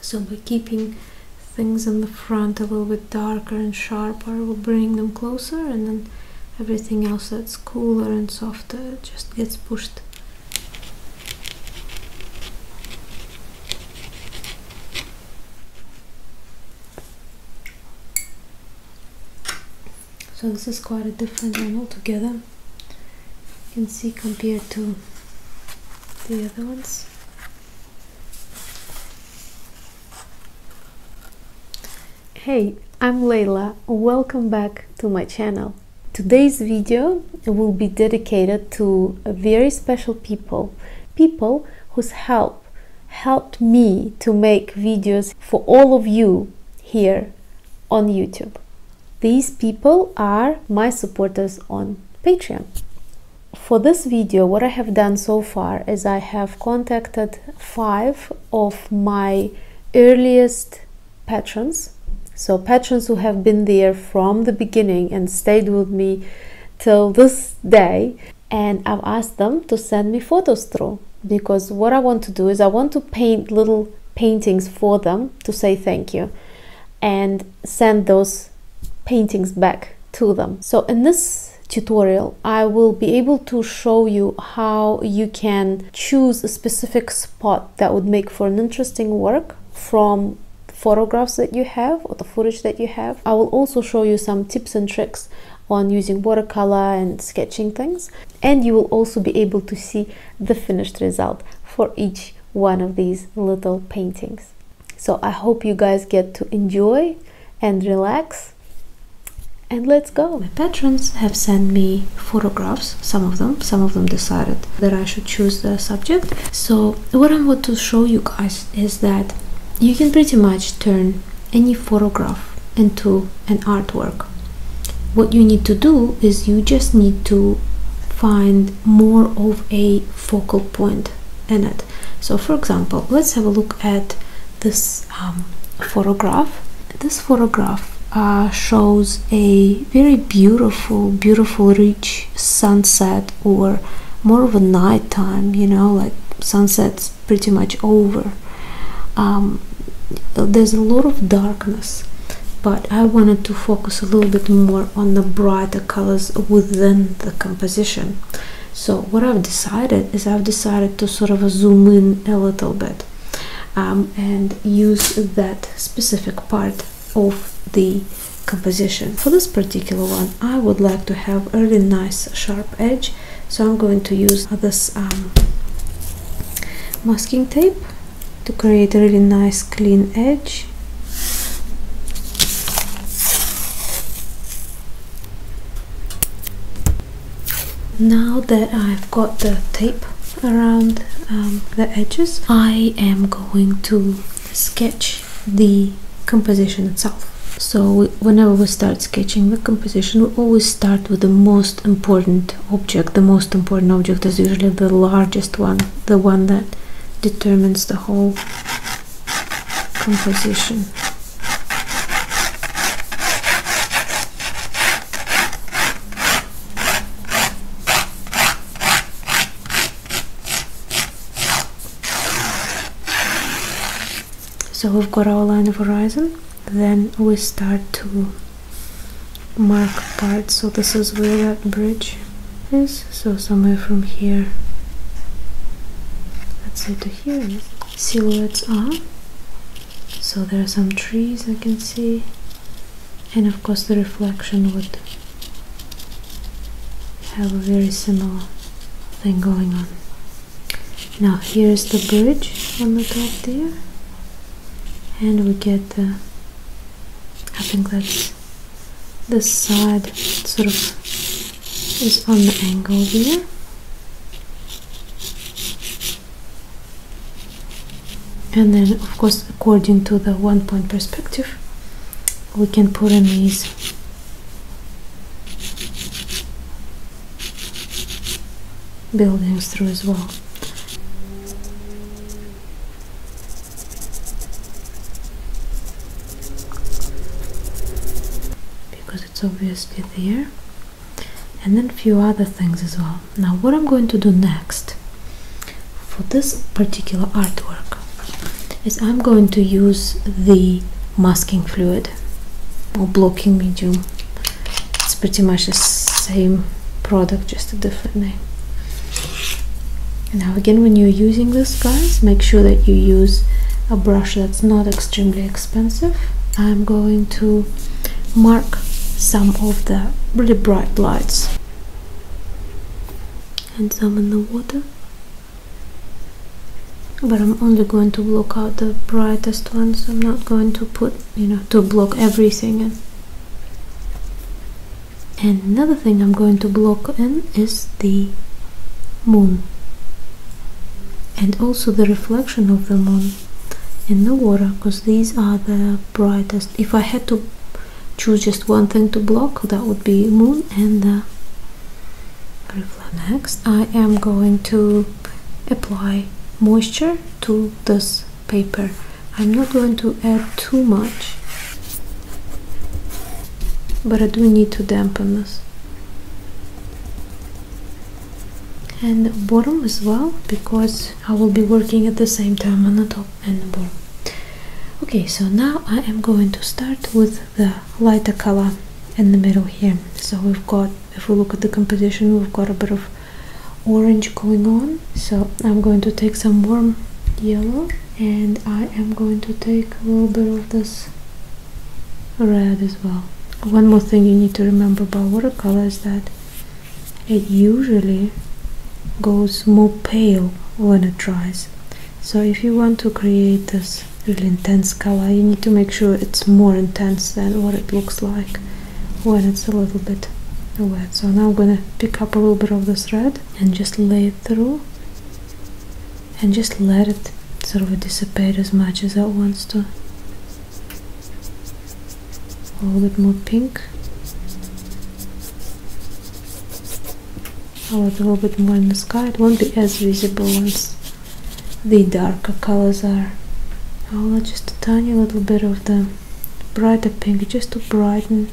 So by keeping things in the front a little bit darker and sharper, we'll bring them closer and then everything else that's cooler and softer just gets pushed so this is quite a different one altogether you can see compared to the other ones. Hey, I'm Layla. Welcome back to my channel. Today's video will be dedicated to very special people, people whose help helped me to make videos for all of you here on YouTube. These people are my supporters on Patreon. For this video, what I have done so far is I have contacted five of my earliest patrons. So patrons who have been there from the beginning and stayed with me till this day. And I've asked them to send me photos through because what I want to do is I want to paint little paintings for them to say thank you. And send those paintings back to them. So in this tutorial I will be able to show you how you can choose a specific spot that would make for an interesting work from photographs that you have or the footage that you have. I will also show you some tips and tricks on using watercolor and sketching things and you will also be able to see the finished result for each one of these little paintings. So I hope you guys get to enjoy and relax and let's go. My patrons have sent me photographs, some of them, some of them decided that I should choose the subject. So what I want to show you guys is that you can pretty much turn any photograph into an artwork. What you need to do is you just need to find more of a focal point in it. So, for example, let's have a look at this um, photograph. This photograph uh, shows a very beautiful, beautiful, rich sunset, or more of a nighttime. You know, like sunset's pretty much over. Um, there's a lot of darkness, but I wanted to focus a little bit more on the brighter colors within the composition. So what I've decided is I've decided to sort of zoom in a little bit um, and use that specific part of the composition. For this particular one, I would like to have a really nice sharp edge, so I'm going to use this um, masking tape to create a really nice clean edge now that I've got the tape around um, the edges I am going to sketch the composition itself so whenever we start sketching the composition we always start with the most important object the most important object is usually the largest one the one that determines the whole composition. So we've got our line of horizon, then we start to mark parts. So this is where that bridge is so somewhere from here let's say to here silhouettes are so there are some trees I can see and of course the reflection would have a very similar thing going on now here is the bridge on the top there and we get the uh, I think that's this side sort of is on the angle here. And then, of course, according to the one point perspective, we can put in these buildings through as well because it's obviously there and then a few other things as well now what I'm going to do next for this particular artwork is I'm going to use the masking fluid or blocking medium it's pretty much the same product just a different name now again when you're using this guys make sure that you use a brush that's not extremely expensive. I'm going to mark some of the really bright lights and some in the water but I'm only going to block out the brightest ones I'm not going to put you know to block everything in and another thing I'm going to block in is the moon and also the reflection of the moon in the water because these are the brightest if I had to choose just one thing to block that would be moon and the reflection next I am going to apply moisture to this paper I'm not going to add too much but I do need to dampen this and the bottom as well because I will be working at the same time on the top and the bottom okay so now I am going to start with the lighter color in the middle here so we've got if we look at the composition we've got a bit of orange going on so I'm going to take some warm yellow and I am going to take a little bit of this red as well one more thing you need to remember about watercolor is that it usually goes more pale when it dries so if you want to create this really intense color you need to make sure it's more intense than what it looks like when it's a little bit wet so now I'm gonna pick up a little bit of this red and just lay it through and just let it sort of dissipate as much as it wants to. A little bit more pink. A little bit more in the sky. It won't be as visible once the darker colors are. I will add just a tiny little bit of the brighter pink just to brighten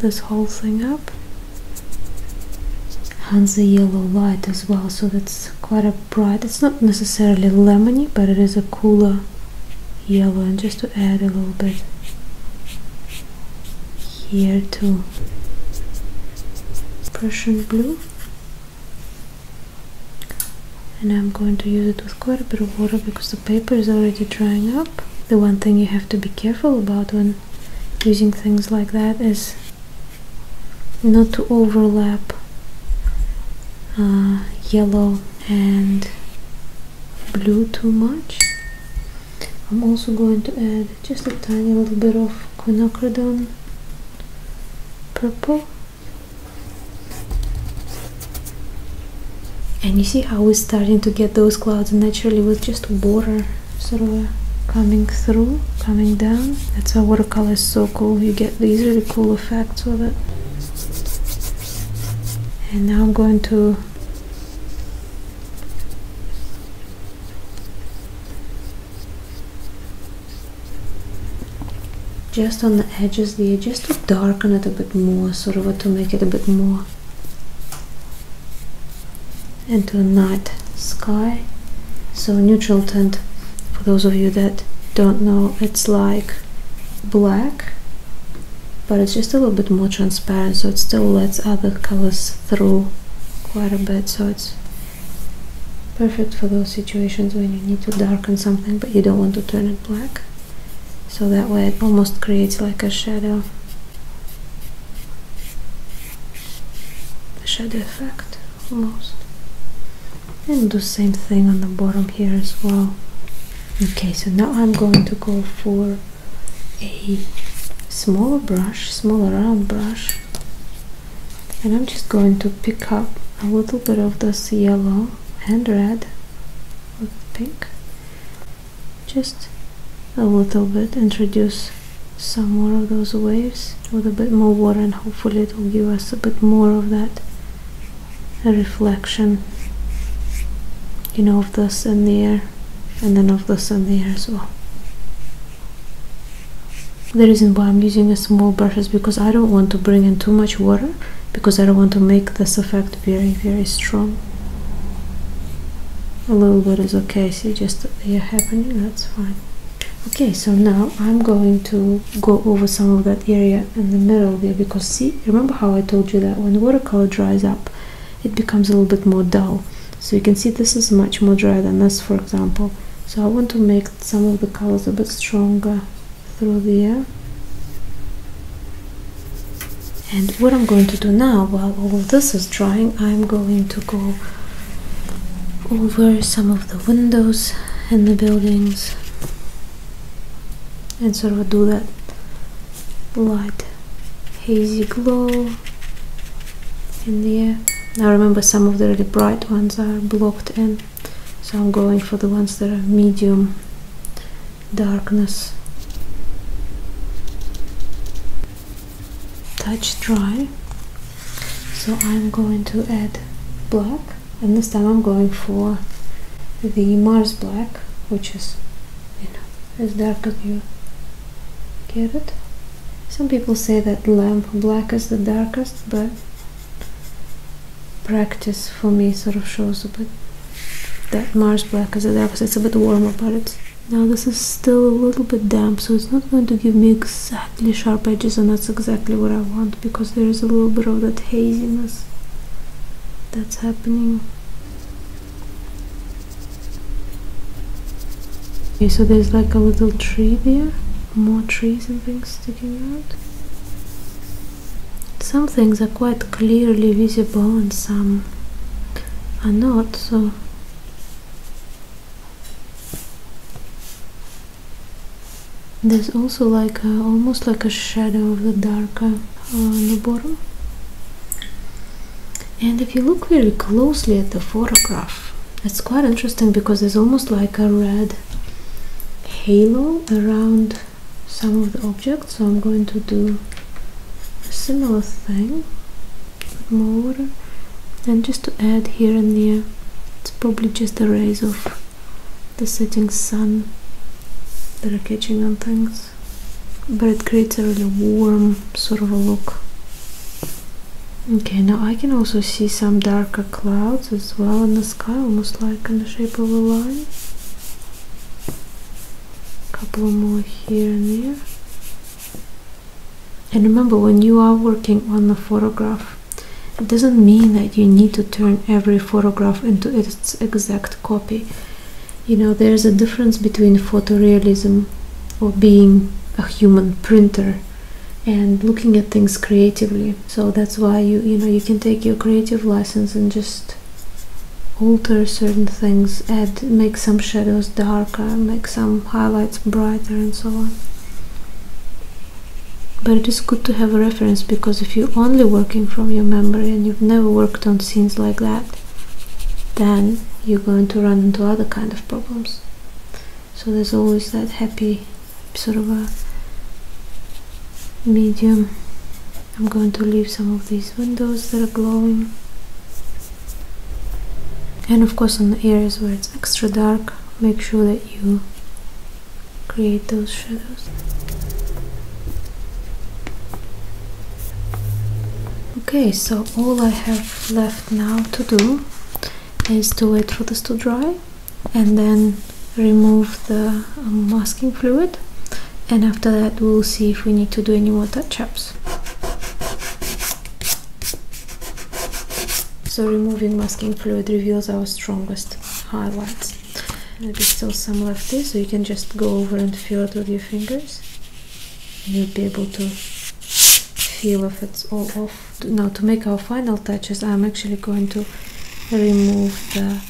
this whole thing up has a yellow light as well so that's quite a bright it's not necessarily lemony but it is a cooler yellow and just to add a little bit here too, Prussian blue and I'm going to use it with quite a bit of water because the paper is already drying up the one thing you have to be careful about when using things like that is not to overlap uh, yellow and blue too much. I'm also going to add just a tiny little bit of quinacridone purple and you see how we're starting to get those clouds naturally with just water sort of uh, coming through, coming down. That's how watercolor is so cool. You get these really cool effects with it. And now I'm going to just on the edges there just to darken it a bit more sort of to make it a bit more into a night sky so neutral tint for those of you that don't know it's like black but it's just a little bit more transparent so it still lets other colors through quite a bit so it's perfect for those situations when you need to darken something but you don't want to turn it black so that way it almost creates like a shadow the shadow effect almost and do same thing on the bottom here as well okay so now I'm going to go for a smaller brush smaller round brush and I'm just going to pick up a little bit of this yellow and red with pink just a little bit introduce some more of those waves with a bit more water and hopefully it will give us a bit more of that reflection you know of this in the air and then of this in the air as well the reason why I'm using a small brush is because I don't want to bring in too much water because I don't want to make this effect very very strong a little bit is okay see just they are happening that's fine okay so now i'm going to go over some of that area in the middle there because see remember how i told you that when watercolor dries up it becomes a little bit more dull so you can see this is much more dry than this for example so i want to make some of the colors a bit stronger through there and what I'm going to do now while all this is drying I'm going to go over some of the windows in the buildings and sort of do that light hazy glow in the air now remember some of the really bright ones are blocked in so I'm going for the ones that are medium darkness touch dry so I'm going to add black and this time I'm going for the Mars black which is you know is dark as you get it some people say that lamp black is the darkest but practice for me sort of shows a bit that Mars black is the darkest it's a bit warmer but it's now this is still a little bit damp, so it's not going to give me exactly sharp edges and that's exactly what I want because there is a little bit of that haziness that's happening. Okay, so there's like a little tree there, more trees and things sticking out. Some things are quite clearly visible and some are not, so there's also like almost like a shadow of the dark uh, on the bottom. And if you look very closely at the photograph, it's quite interesting because there's almost like a red halo around some of the objects. So I'm going to do a similar thing more and just to add here and there it's probably just the rays of the setting sun that are catching on things but it creates a really warm sort of a look okay now I can also see some darker clouds as well in the sky almost like in the shape of a line A couple more here and there and remember, when you are working on a photograph, it doesn't mean that you need to turn every photograph into its exact copy. You know, there's a difference between photorealism or being a human printer and looking at things creatively. So that's why you you know you can take your creative license and just alter certain things, add make some shadows darker, make some highlights brighter and so on but it is good to have a reference because if you're only working from your memory and you've never worked on scenes like that then you're going to run into other kind of problems so there's always that happy sort of a medium I'm going to leave some of these windows that are glowing and of course on the areas where it's extra dark make sure that you create those shadows okay so all I have left now to do is to wait for this to dry and then remove the um, masking fluid and after that we'll see if we need to do any more touch-ups so removing masking fluid reveals our strongest highlights. Maybe still some left here, so you can just go over and feel it with your fingers. You'll be able to feel if it's all off. Now to make our final touches, I'm actually going to remove the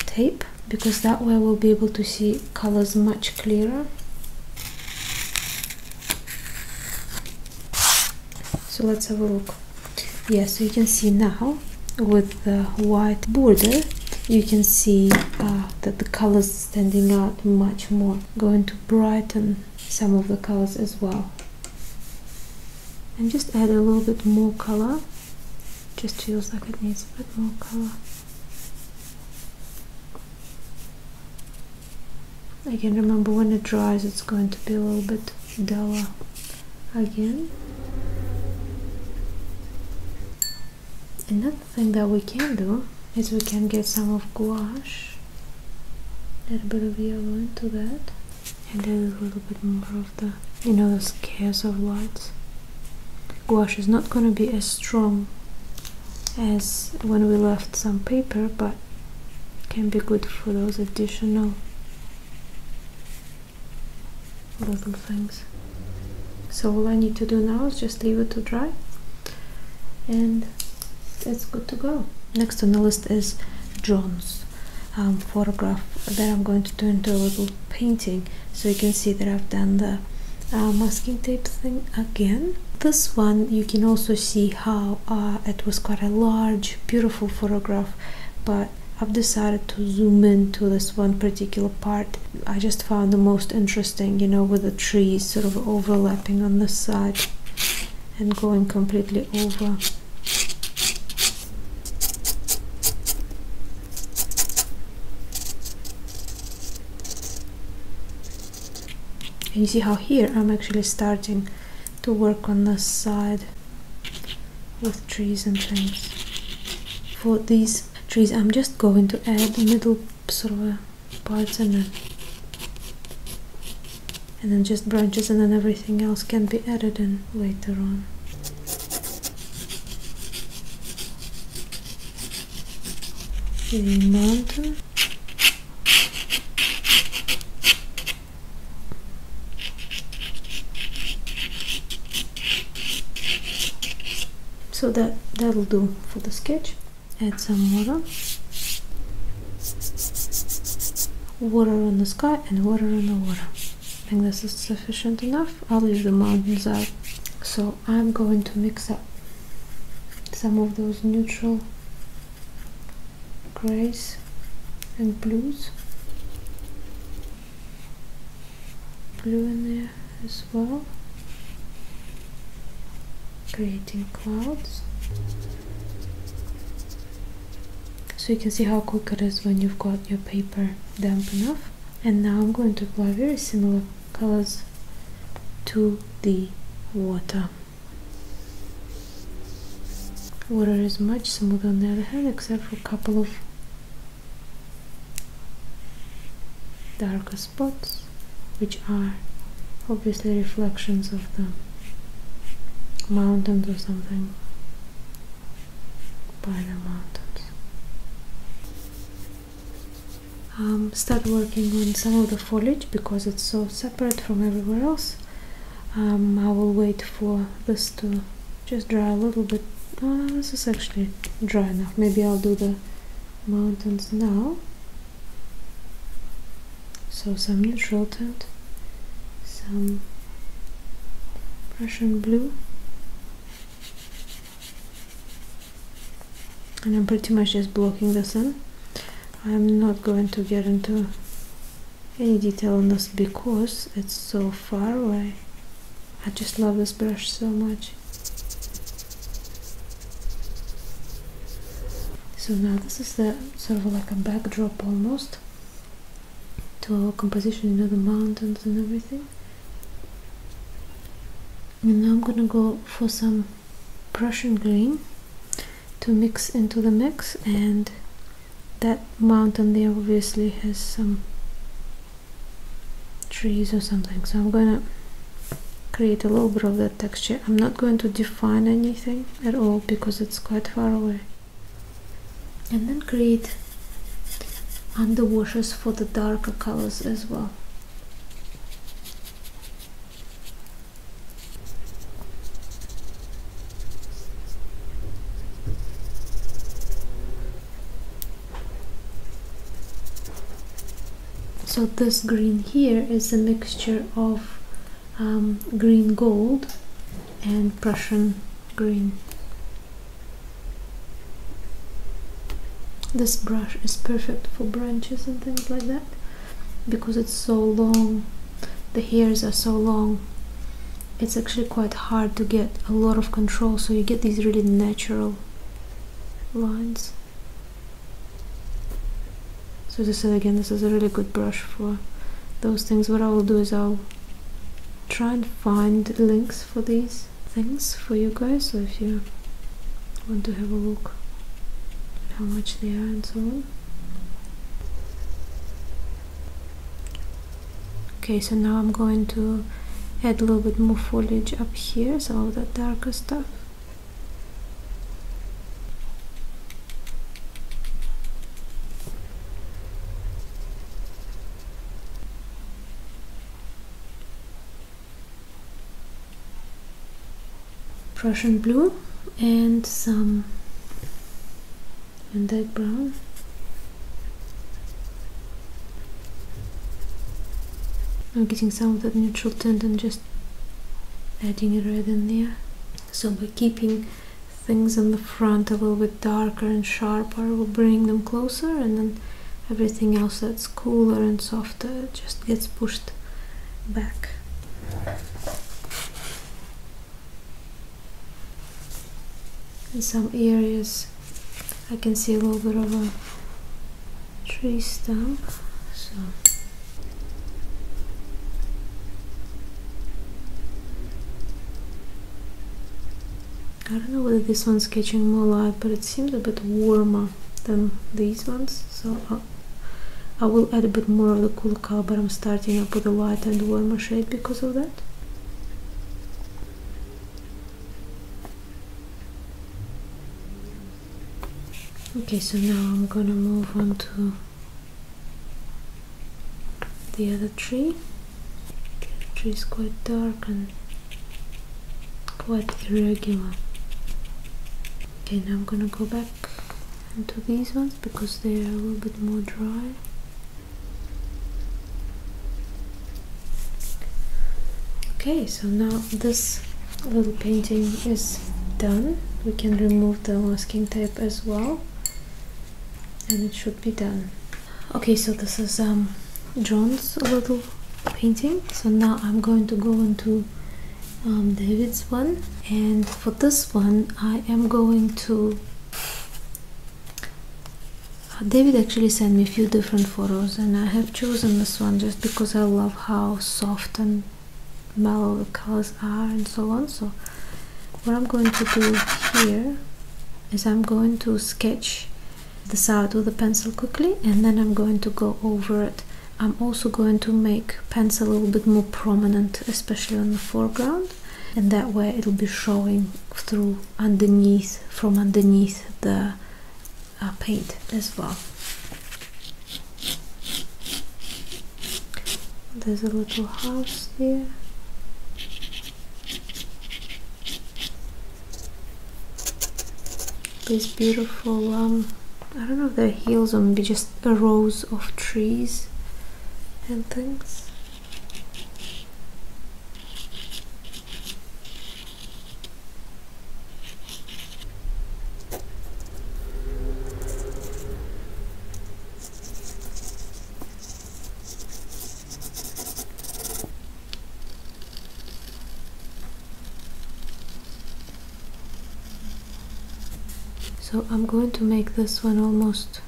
tape because that way we'll be able to see colors much clearer so let's have a look Yes, you can see now with the white border you can see uh, that the colors standing out much more going to brighten some of the colors as well and just add a little bit more color just feels like it needs a bit more color I can remember when it dries, it's going to be a little bit duller again. Another thing that we can do is we can get some of gouache, a little bit of yellow into that, and then a little bit more of the, you know, the scares of whites. Gouache is not going to be as strong as when we left some paper but can be good for those additional little things so all I need to do now is just leave it to dry and it's good to go next on the list is John's um, photograph that I'm going to turn into a little painting so you can see that I've done the uh, masking tape thing again this one you can also see how uh, it was quite a large beautiful photograph but I've decided to zoom in to this one particular part. I just found the most interesting, you know, with the trees sort of overlapping on the side and going completely over and you see how here I'm actually starting to work on this side with trees and things for these trees I'm just going to add a little sort of a and and then just branches and then everything else can be added in later on the mountain so that that'll do for the sketch add some water water on the sky and water on the water I think this is sufficient enough I'll leave the mountains out so I'm going to mix up some of those neutral grays and blues blue in there as well creating clouds so you can see how quick it is when you've got your paper damp enough and now I'm going to apply very similar colors to the water Water is much smoother on the other hand, except for a couple of darker spots, which are obviously reflections of the mountains or something, by the mountains. Um, start working on some of the foliage because it's so separate from everywhere else um, I will wait for this to just dry a little bit uh, this is actually dry enough maybe I'll do the mountains now so some neutral tint some Russian blue and I'm pretty much just blocking the sun I'm not going to get into any detail on this because it's so far away I just love this brush so much so now this is the sort of like a backdrop almost to our composition you know the mountains and everything and now I'm gonna go for some Prussian green to mix into the mix and that mountain there obviously has some trees or something so I'm gonna create a little bit of that texture I'm not going to define anything at all because it's quite far away and then create under washes for the darker colors as well so this green here is a mixture of um, green gold and Prussian green. This brush is perfect for branches and things like that because it's so long the hairs are so long it's actually quite hard to get a lot of control so you get these really natural lines so as I again this is a really good brush for those things what I will do is I'll try and find links for these things for you guys so if you want to have a look how much they are and so on okay so now I'm going to add a little bit more foliage up here some of that darker stuff Prussian blue and some Van Dyke brown. I'm getting some of that neutral tint and just adding red in there. So by keeping things in the front a little bit darker and sharper, we'll bring them closer and then everything else that's cooler and softer just gets pushed back. In some areas I can see a little bit of a tree stump. So I don't know whether this one's catching more light, but it seems a bit warmer than these ones, so uh, I will add a bit more of the cool color but I'm starting up with a lighter and warmer shade because of that okay so now I'm gonna move on to the other tree the tree is quite dark and quite irregular okay now I'm gonna go back and to these ones because they are a little bit more dry okay so now this little painting is done we can remove the masking tape as well and it should be done okay so this is um John's little painting so now I'm going to go into um, David's one and for this one I am going to uh, David actually sent me a few different photos and I have chosen this one just because I love how soft and mellow the colors are and so on so what I'm going to do here is I'm going to sketch this out with a pencil quickly and then I'm going to go over it I'm also going to make pencil a little bit more prominent, especially on the foreground, and that way it'll be showing through underneath from underneath the uh, paint as well. There's a little house here. This beautiful um, I don't know if they hills or be just rows of trees and things. So I'm going to make this one almost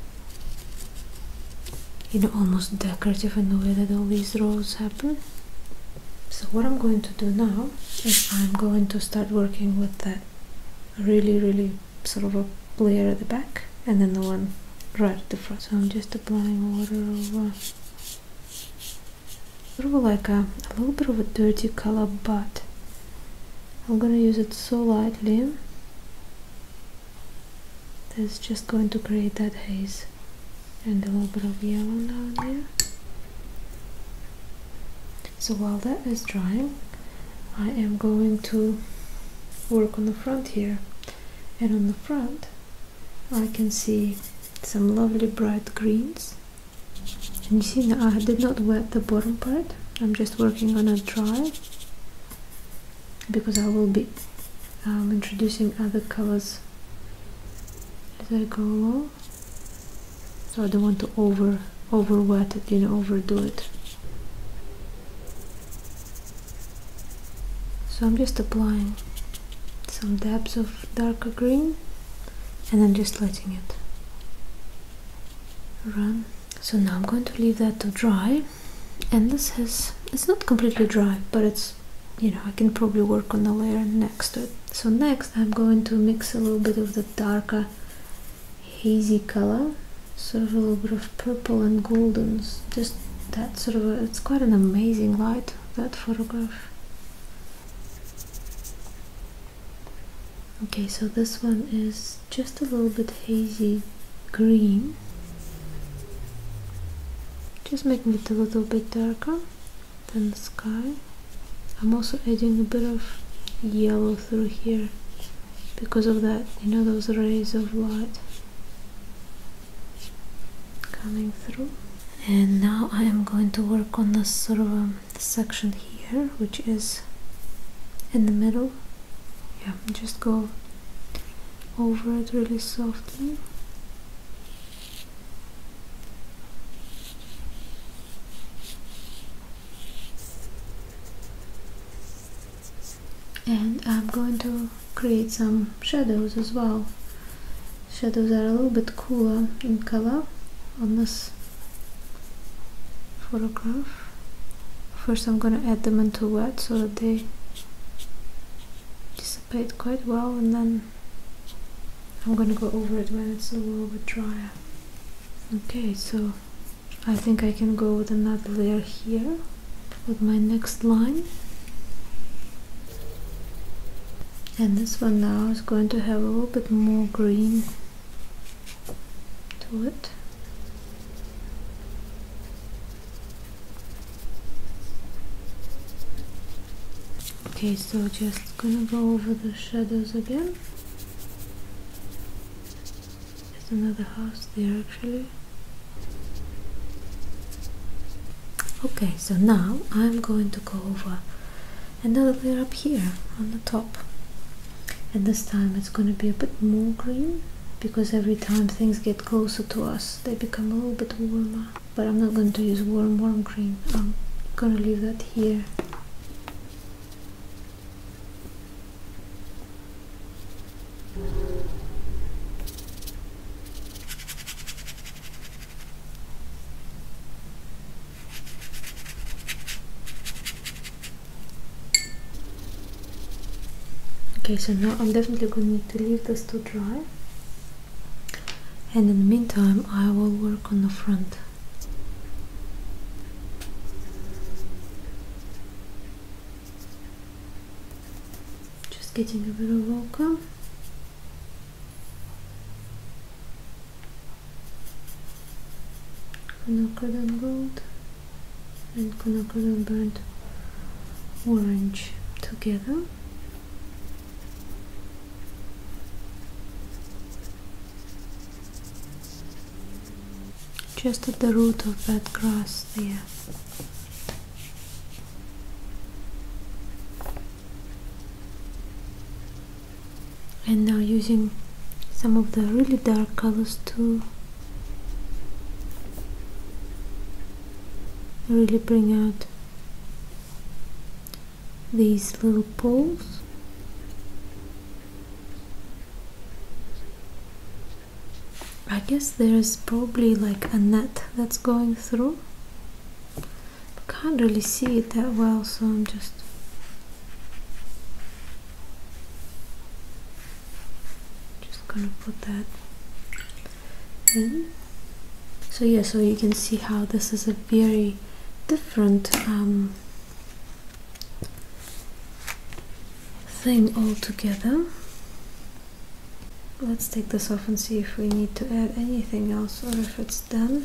you know almost decorative in the way that all these rows happen. So what I'm going to do now is I'm going to start working with that really really sort of a layer at the back and then the one right at the front. So I'm just applying water over sort of like a little bit of a dirty color but I'm gonna use it so lightly That's just going to create that haze and a little bit of yellow down there so while that is drying I am going to work on the front here and on the front I can see some lovely bright greens and you see now I did not wet the bottom part. I'm just working on a dry because I will be um, introducing other colors as I go along. So I don't want to over over wet it, you know, overdo it. So I'm just applying some dabs of darker green and then just letting it run so now I'm going to leave that to dry and this has it's not completely dry but it's you know I can probably work on the layer next to it so next I'm going to mix a little bit of the darker hazy color sort of a little bit of purple and goldens. just that sort of it's quite an amazing light that photograph Okay, so this one is just a little bit hazy green. Just making it a little bit darker than the sky. I'm also adding a bit of yellow through here because of that, you know, those rays of light coming through. And now I am going to work on the sort of um, section here which is in the middle yeah just go over it really softly and I'm going to create some shadows as well shadows are a little bit cooler in color on this photograph first I'm gonna add them into wet so that they dissipate quite well and then I'm gonna go over it when it's a little bit drier okay so I think I can go with another layer here with my next line and this one now is going to have a little bit more green to it. Okay, so just gonna go over the shadows again. There's another house there actually. Okay, so now I'm going to go over another layer up here on the top and this time it's going to be a bit more green because every time things get closer to us they become a little bit warmer but I'm not going to use warm warm green I'm going to leave that here okay so now I'm definitely going to need to leave this to dry and in the meantime I will work on the front just getting a bit of ochre Quinacridone gold and quinacridone burnt orange together. Just at the root of that grass there and now using some of the really dark colors to really bring out these little poles I guess there's probably like a net that's going through can't really see it that well so I'm just just gonna put that in so yeah so you can see how this is a very different um, thing altogether let's take this off and see if we need to add anything else or if it's done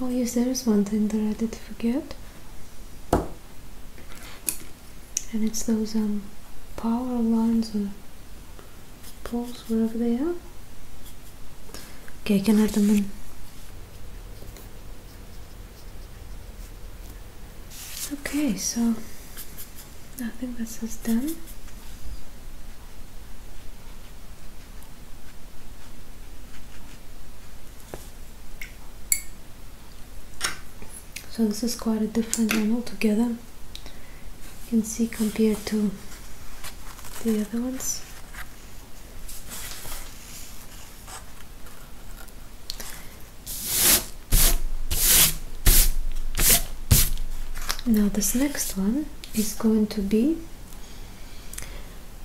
Oh yes, there is one thing that I did forget. And it's those um power lines or poles, wherever they are. Okay, I can add them in. Okay, so I think this is done. So this is quite a different one altogether. You can see compared to the other ones. Now this next next one is going to be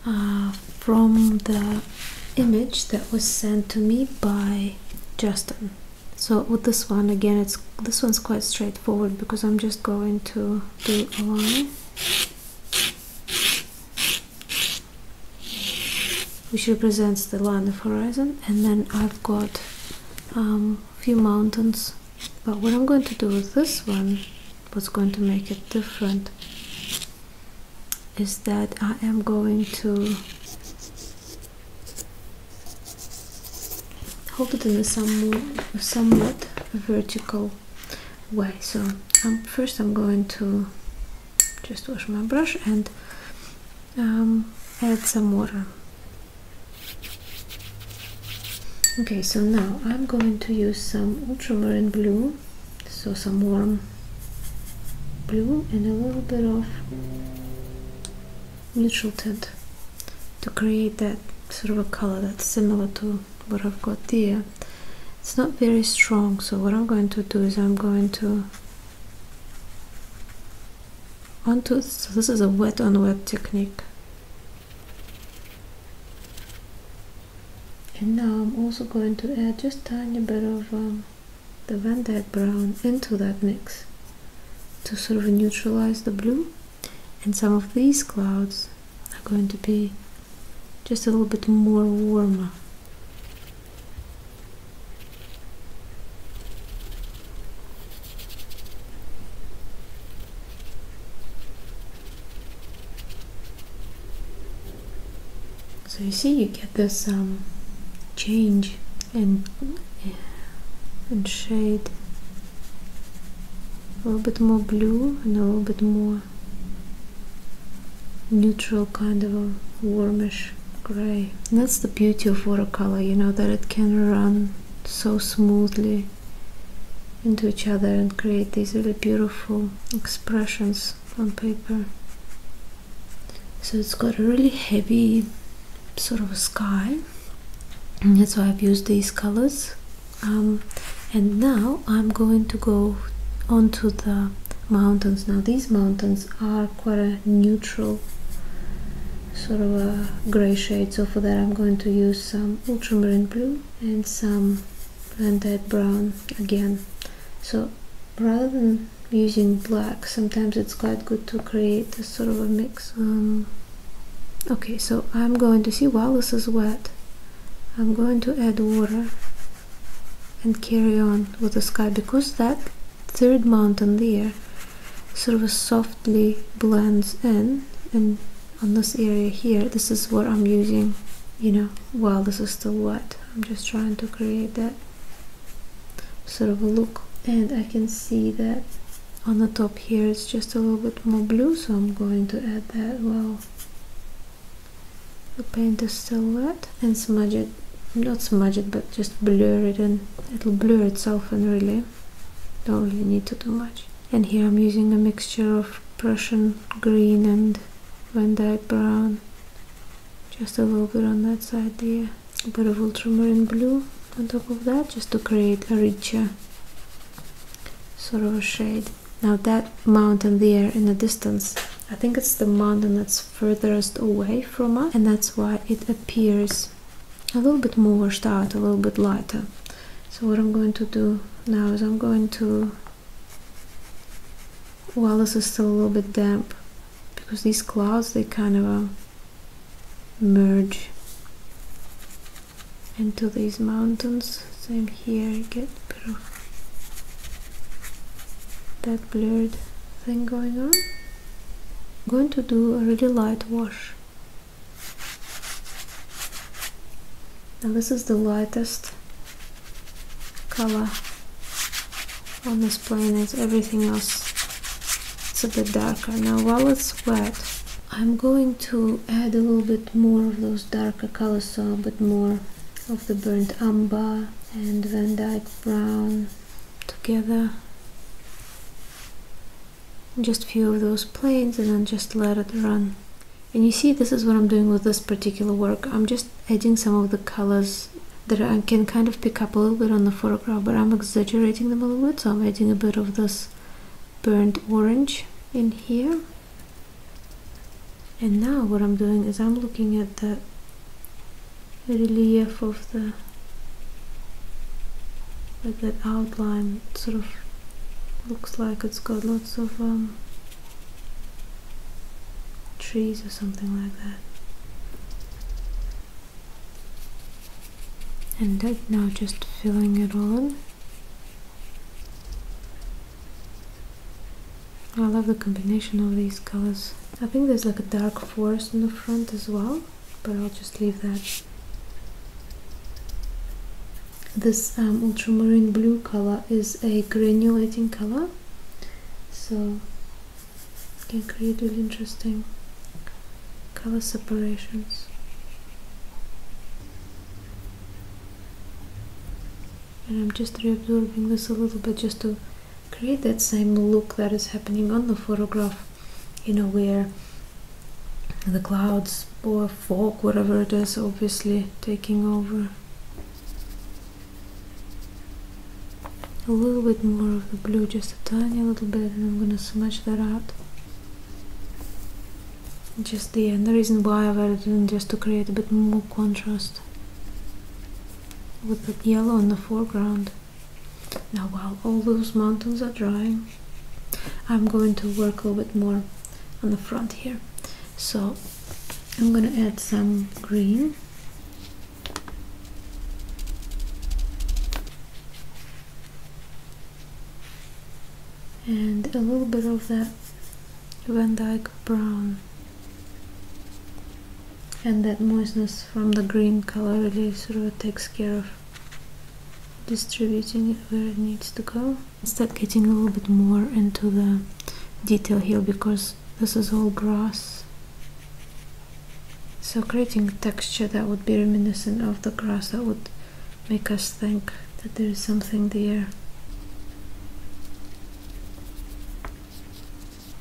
uh, from the image that was sent to me by Justin. So with this one again, it's this one's quite straightforward because I'm just going to do a line. which represents the line of horizon and then I've got um, a few mountains but what I'm going to do with this one what's going to make it different is that I am going to hold it in a somewhat, vertical way so um, first I'm going to just wash my brush and um, add some water okay so now I'm going to use some ultramarine blue so some warm blue and a little bit of neutral tint to create that sort of a color that's similar to what I've got there it's not very strong so what I'm going to do is I'm going to onto so this is a wet on wet technique and now I'm also going to add just tiny bit of um, the Van Dyke brown into that mix to sort of neutralize the blue and some of these clouds are going to be just a little bit more warmer so you see, you get this um, change and in shade. A little bit more blue and a little bit more neutral kind of a warmish gray. that's the beauty of watercolor, you know, that it can run so smoothly into each other and create these really beautiful expressions on paper. So it's got a really heavy sort of sky and that's why I've used these colors. Um, and now I'm going to go onto the mountains. Now these mountains are quite a neutral sort of a gray shade so for that I'm going to use some ultramarine blue and some blended brown again so rather than using black sometimes it's quite good to create a sort of a mix um, okay so I'm going to see while this is wet I'm going to add water and carry on with the sky because that third mountain there sort of softly blends in and on this area here this is what I'm using you know while this is still wet I'm just trying to create that sort of look and I can see that on the top here it's just a little bit more blue so I'm going to add that well the paint is still wet and smudge it not smudge it but just blur it and it'll blur itself and really don't really need to do much and here I'm using a mixture of Prussian green and Van Dyke brown just a little bit on that side there a bit of ultramarine blue on top of that just to create a richer sort of a shade now that mountain there in the distance I think it's the mountain that's furthest away from us and that's why it appears a little bit more washed out, a little bit lighter. So what I'm going to do now is I'm going to, while this is still a little bit damp, because these clouds, they kind of uh, merge into these mountains. Same here, get a bit of that blurred thing going on. going to do a really light wash now this is the lightest color on this plane everything else. It's a bit darker. Now while it's wet, I'm going to add a little bit more of those darker colors, so a bit more of the burnt umber and Van Dyke brown together just a few of those planes and then just let it run and you see this is what I'm doing with this particular work I'm just adding some of the colors that I can kind of pick up a little bit on the photograph, but I'm exaggerating them a little bit so I'm adding a bit of this burnt orange in here and now what I'm doing is I'm looking at the relief of the like that outline sort of looks like it's got lots of um, trees or something like that and that now just filling it on I love the combination of these colors I think there's like a dark forest in the front as well but I'll just leave that this um, ultramarine blue color is a granulating color, so it can create really interesting color separations. And I'm just reabsorbing this a little bit just to create that same look that is happening on the photograph, you know, where the clouds or fog, whatever it is, obviously taking over. A little bit more of the blue, just a tiny little bit, and I'm gonna smudge that out. Just the end. The reason why I've added in just to create a bit more contrast with the yellow in the foreground. Now, while all those mountains are drying, I'm going to work a little bit more on the front here so I'm gonna add some green and a little bit of that Van Dyke brown and that moistness from the green color really sort of takes care of distributing it where it needs to go start getting a little bit more into the detail here because this is all grass so creating texture that would be reminiscent of the grass that would make us think that there is something there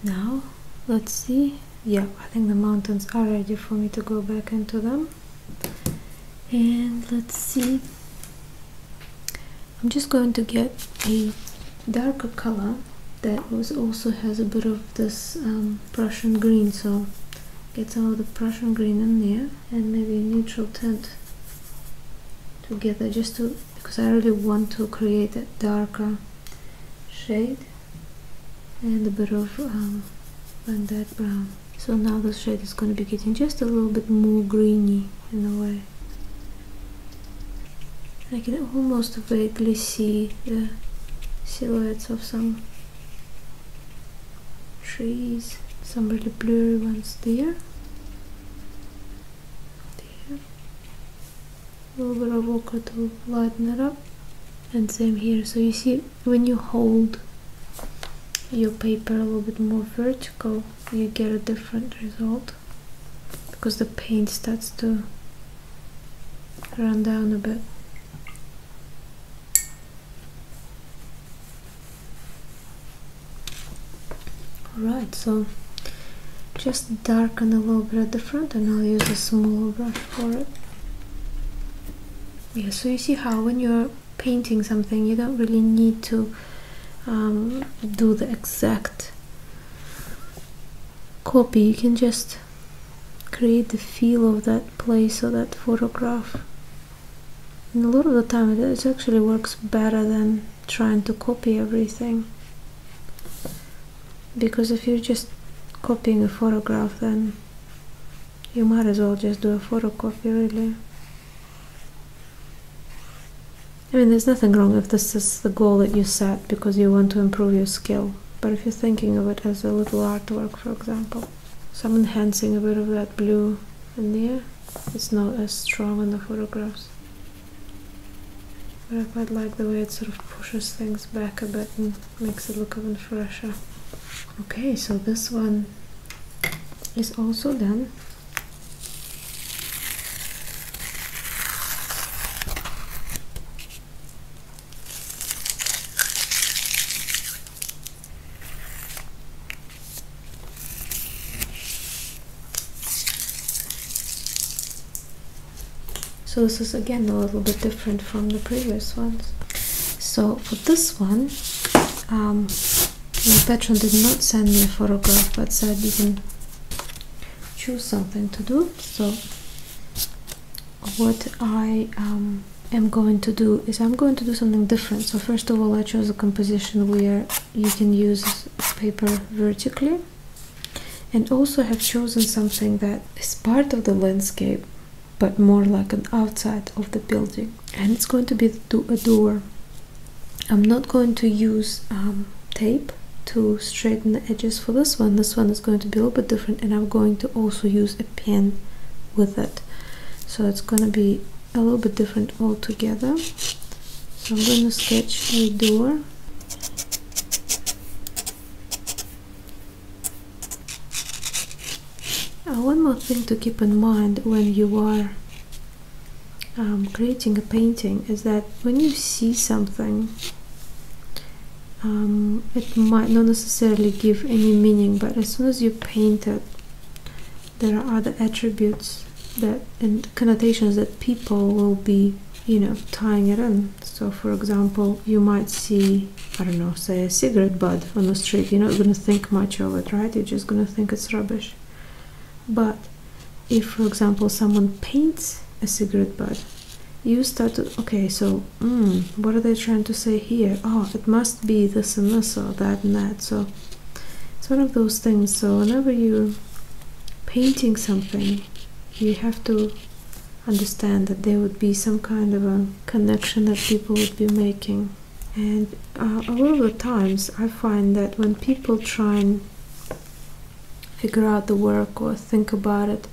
now let's see yeah i think the mountains are ready for me to go back into them and let's see I'm just going to get a darker color that was also has a bit of this um, Prussian green so get some of the Prussian green in there and maybe a neutral tint together just to because I really want to create a darker shade and a bit of um, brown so now the shade is going to be getting just a little bit more greeny in a way I can almost vaguely see the silhouettes of some trees some really blurry ones there there a little bit of ochre to lighten it up and same here so you see when you hold your paper a little bit more vertical you get a different result because the paint starts to run down a bit Alright, so just darken a little bit at the front and I'll use a smaller brush for it. Yeah, so you see how when you're painting something you don't really need to um, do the exact copy you can just create the feel of that place or that photograph a lot of the time it actually works better than trying to copy everything because if you're just copying a photograph then you might as well just do a photocopy, really. I mean, there's nothing wrong if this is the goal that you set because you want to improve your skill. But if you're thinking of it as a little artwork, for example, so I'm enhancing a bit of that blue in there. It's not as strong in the photographs. But I quite like the way it sort of pushes things back a bit and makes it look even fresher. Okay, so this one is also done so this is again a little bit different from the previous ones so for this one um, my patron did not send me a photograph, but said you can choose something to do. So what I um, am going to do is I'm going to do something different. So first of all, I chose a composition where you can use paper vertically and also have chosen something that is part of the landscape but more like an outside of the building and it's going to be to a door i'm not going to use um, tape to straighten the edges for this one this one is going to be a little bit different and i'm going to also use a pen with it so it's going to be a little bit different altogether so i'm going to sketch a door uh, one more thing to keep in mind when you are um, creating a painting is that when you see something um, it might not necessarily give any meaning but as soon as you paint it there are other attributes that and connotations that people will be you know tying it in so for example you might see i don't know say a cigarette butt on the street you're not going to think much of it right you're just going to think it's rubbish. But if, for example, someone paints a cigarette butt, you start to okay. So, hmm, what are they trying to say here? Oh, it must be this and this or that and that. So, it's one of those things. So, whenever you painting something, you have to understand that there would be some kind of a connection that people would be making. And uh, a lot of the times I find that when people try and figure out the work or think about it,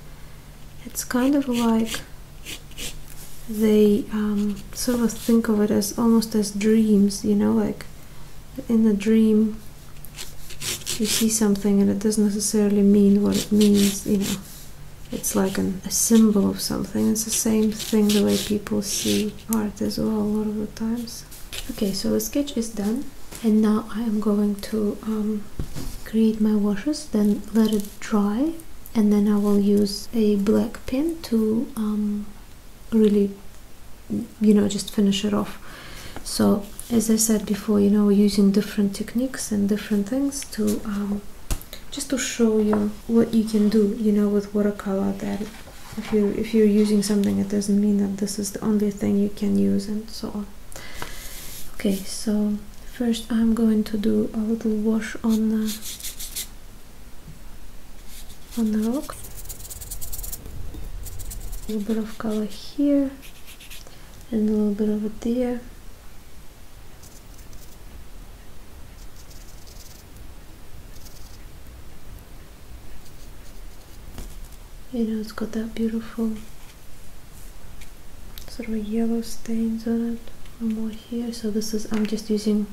it's kind of like they um, sort of think of it as almost as dreams, you know, like in a dream you see something and it doesn't necessarily mean what it means, you know. It's like a symbol of something. It's the same thing the way people see art as well a lot of the times okay so the sketch is done and now I am going to um, create my washes then let it dry and then I will use a black pen to um, really you know just finish it off so as I said before you know using different techniques and different things to um, just to show you what you can do you know with watercolor that if you if you're using something it doesn't mean that this is the only thing you can use and so on okay so first I'm going to do a little wash on the uh, on the rock a little bit of color here and a little bit of it there you know, it's got that beautiful sort of yellow stains on it. One more here. So this is, I'm just using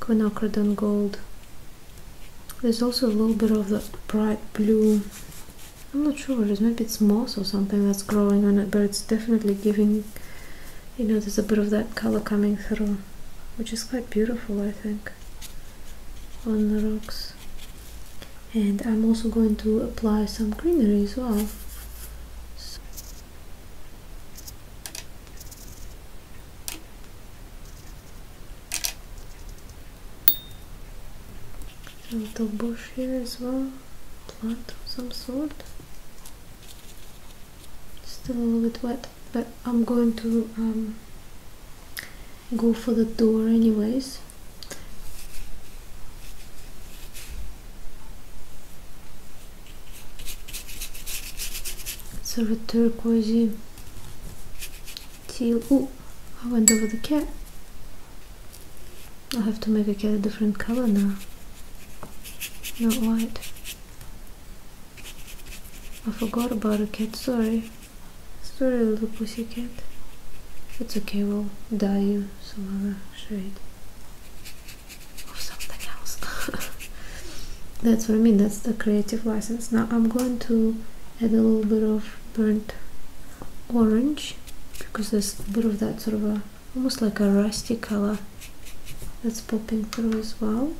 quinacridone gold. There's also a little bit of that bright blue. I'm not sure it is. Maybe it's moss or something that's growing on it, but it's definitely giving, you know, there's a bit of that color coming through which is quite beautiful I think on the rocks and I'm also going to apply some greenery as well a little bush here as well plant of some sort still a little bit wet but I'm going to um, go for the door anyways So sort a of turquoisey teal oh I went over the cat I have to make a cat a different color now not white I forgot about the cat, sorry. Sorry, little pussy cat. It's okay, we'll dye you some other shade. Or something else. that's what I mean, that's the creative license. Now I'm going to add a little bit of burnt orange because there's a bit of that sort of a almost like a rusty color that's popping through as well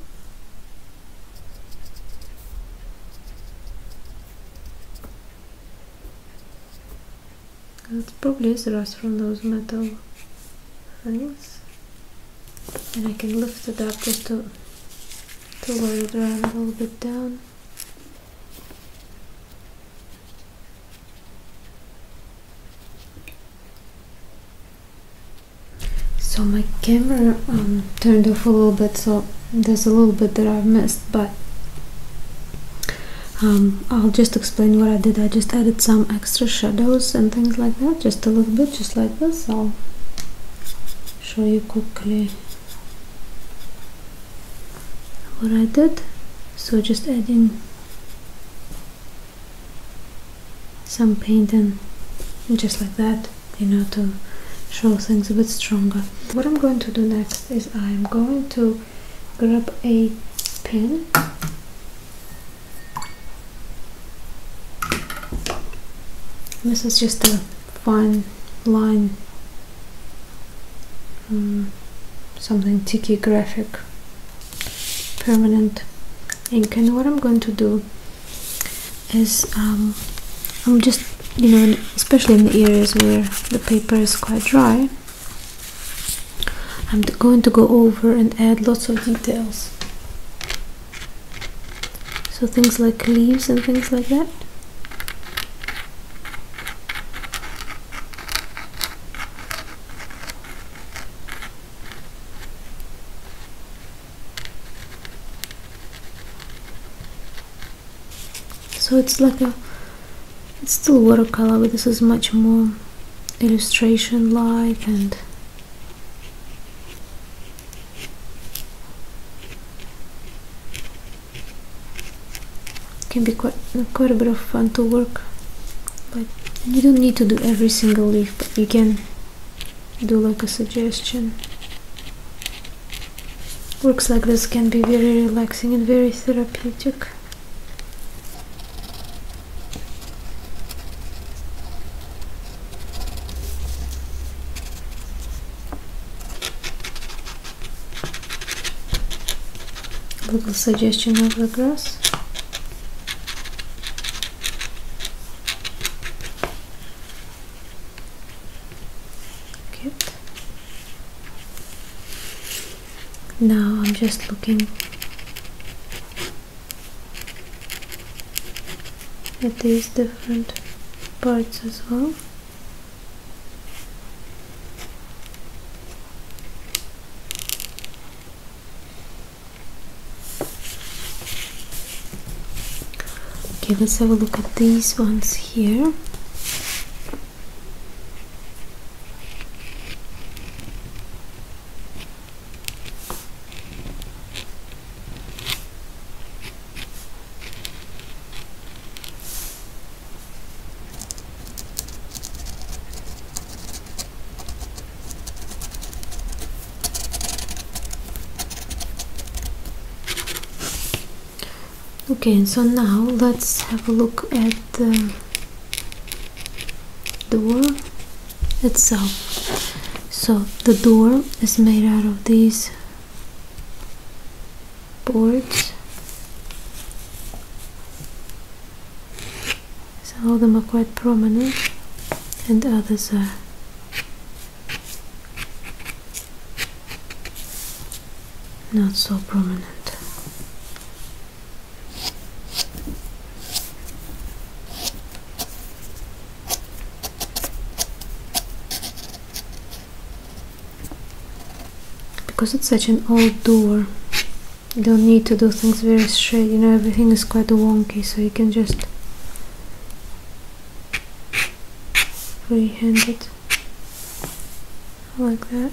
it probably is rust from those metal things. And I can lift it up just to, to let it run a little bit down. So my camera um, turned off a little bit, so there's a little bit that I've missed, but um, I'll just explain what I did. I just added some extra shadows and things like that, just a little bit, just like this. I'll show you quickly what I did. So just adding some paint and just like that you know to show things a bit stronger what I'm going to do next is I'm going to grab a pen. this is just a fine line um, something tiki graphic permanent ink and what I'm going to do is um, I'm just you know especially in the areas where the paper is quite dry I'm going to go over and add lots of details so things like leaves and things like that so it's like a it's still watercolor but this is much more illustration like and can be quite quite a bit of fun to work but you don't need to do every single leaf but you can do like a suggestion works like this can be very relaxing and very therapeutic little suggestion of the grass Good. Now I'm just looking at these different parts as well. Okay, let's have a look at these ones here okay so now let's have a look at the door itself so the door is made out of these boards some of them are quite prominent and others are not so prominent. Because it's such an old door, you don't need to do things very straight, you know, everything is quite wonky, so you can just free handed like that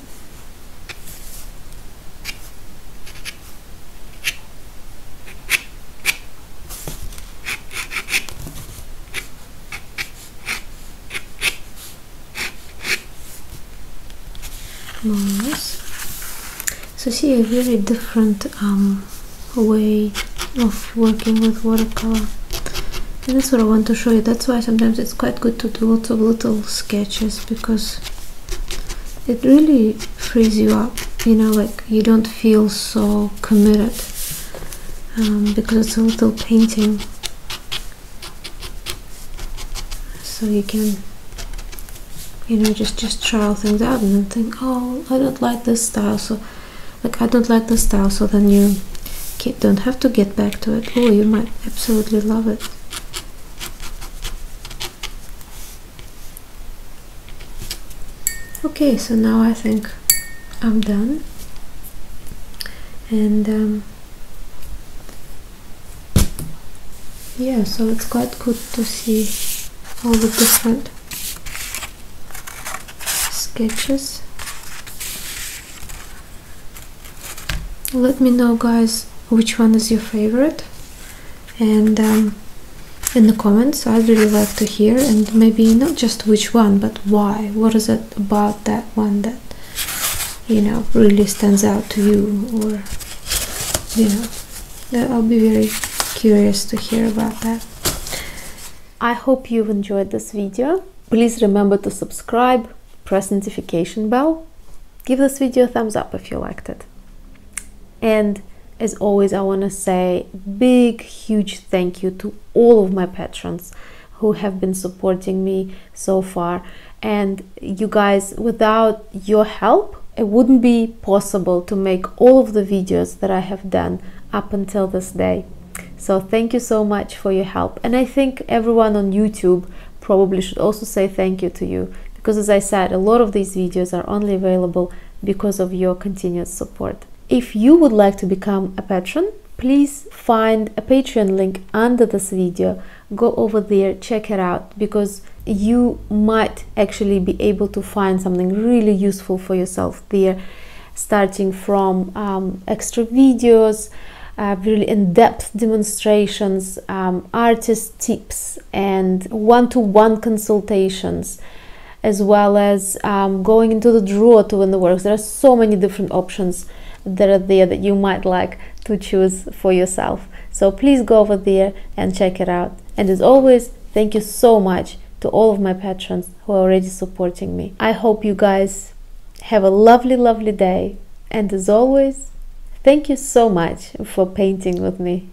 Nice. So see a very different um, way of working with watercolor and that's what I want to show you that's why sometimes it's quite good to do lots of little sketches because it really frees you up you know like you don't feel so committed um, because it's a little painting so you can you know just just trial things out and then think oh I don't like this style so like i don't like the style so then you don't have to get back to it oh you might absolutely love it okay so now i think i'm done and um, yeah so it's quite good to see all the different sketches let me know guys which one is your favorite and um, in the comments i'd really love to hear and maybe not just which one but why what is it about that one that you know really stands out to you or you know i'll be very curious to hear about that I hope you've enjoyed this video. Please remember to subscribe, press notification bell, give this video a thumbs up if you liked it. And as always, I want to say big, huge thank you to all of my patrons who have been supporting me so far. And you guys, without your help, it wouldn't be possible to make all of the videos that I have done up until this day. So thank you so much for your help. And I think everyone on YouTube probably should also say thank you to you because as I said, a lot of these videos are only available because of your continued support. If you would like to become a patron, please find a Patreon link under this video. Go over there, check it out because you might actually be able to find something really useful for yourself there starting from um, extra videos uh, really in-depth demonstrations um, artist tips and one-to-one consultations as well as um, going into the draw to win the works there are so many different options that are there that you might like to choose for yourself so please go over there and check it out and as always thank you so much to all of my patrons who are already supporting me. I hope you guys have a lovely, lovely day. And as always, thank you so much for painting with me.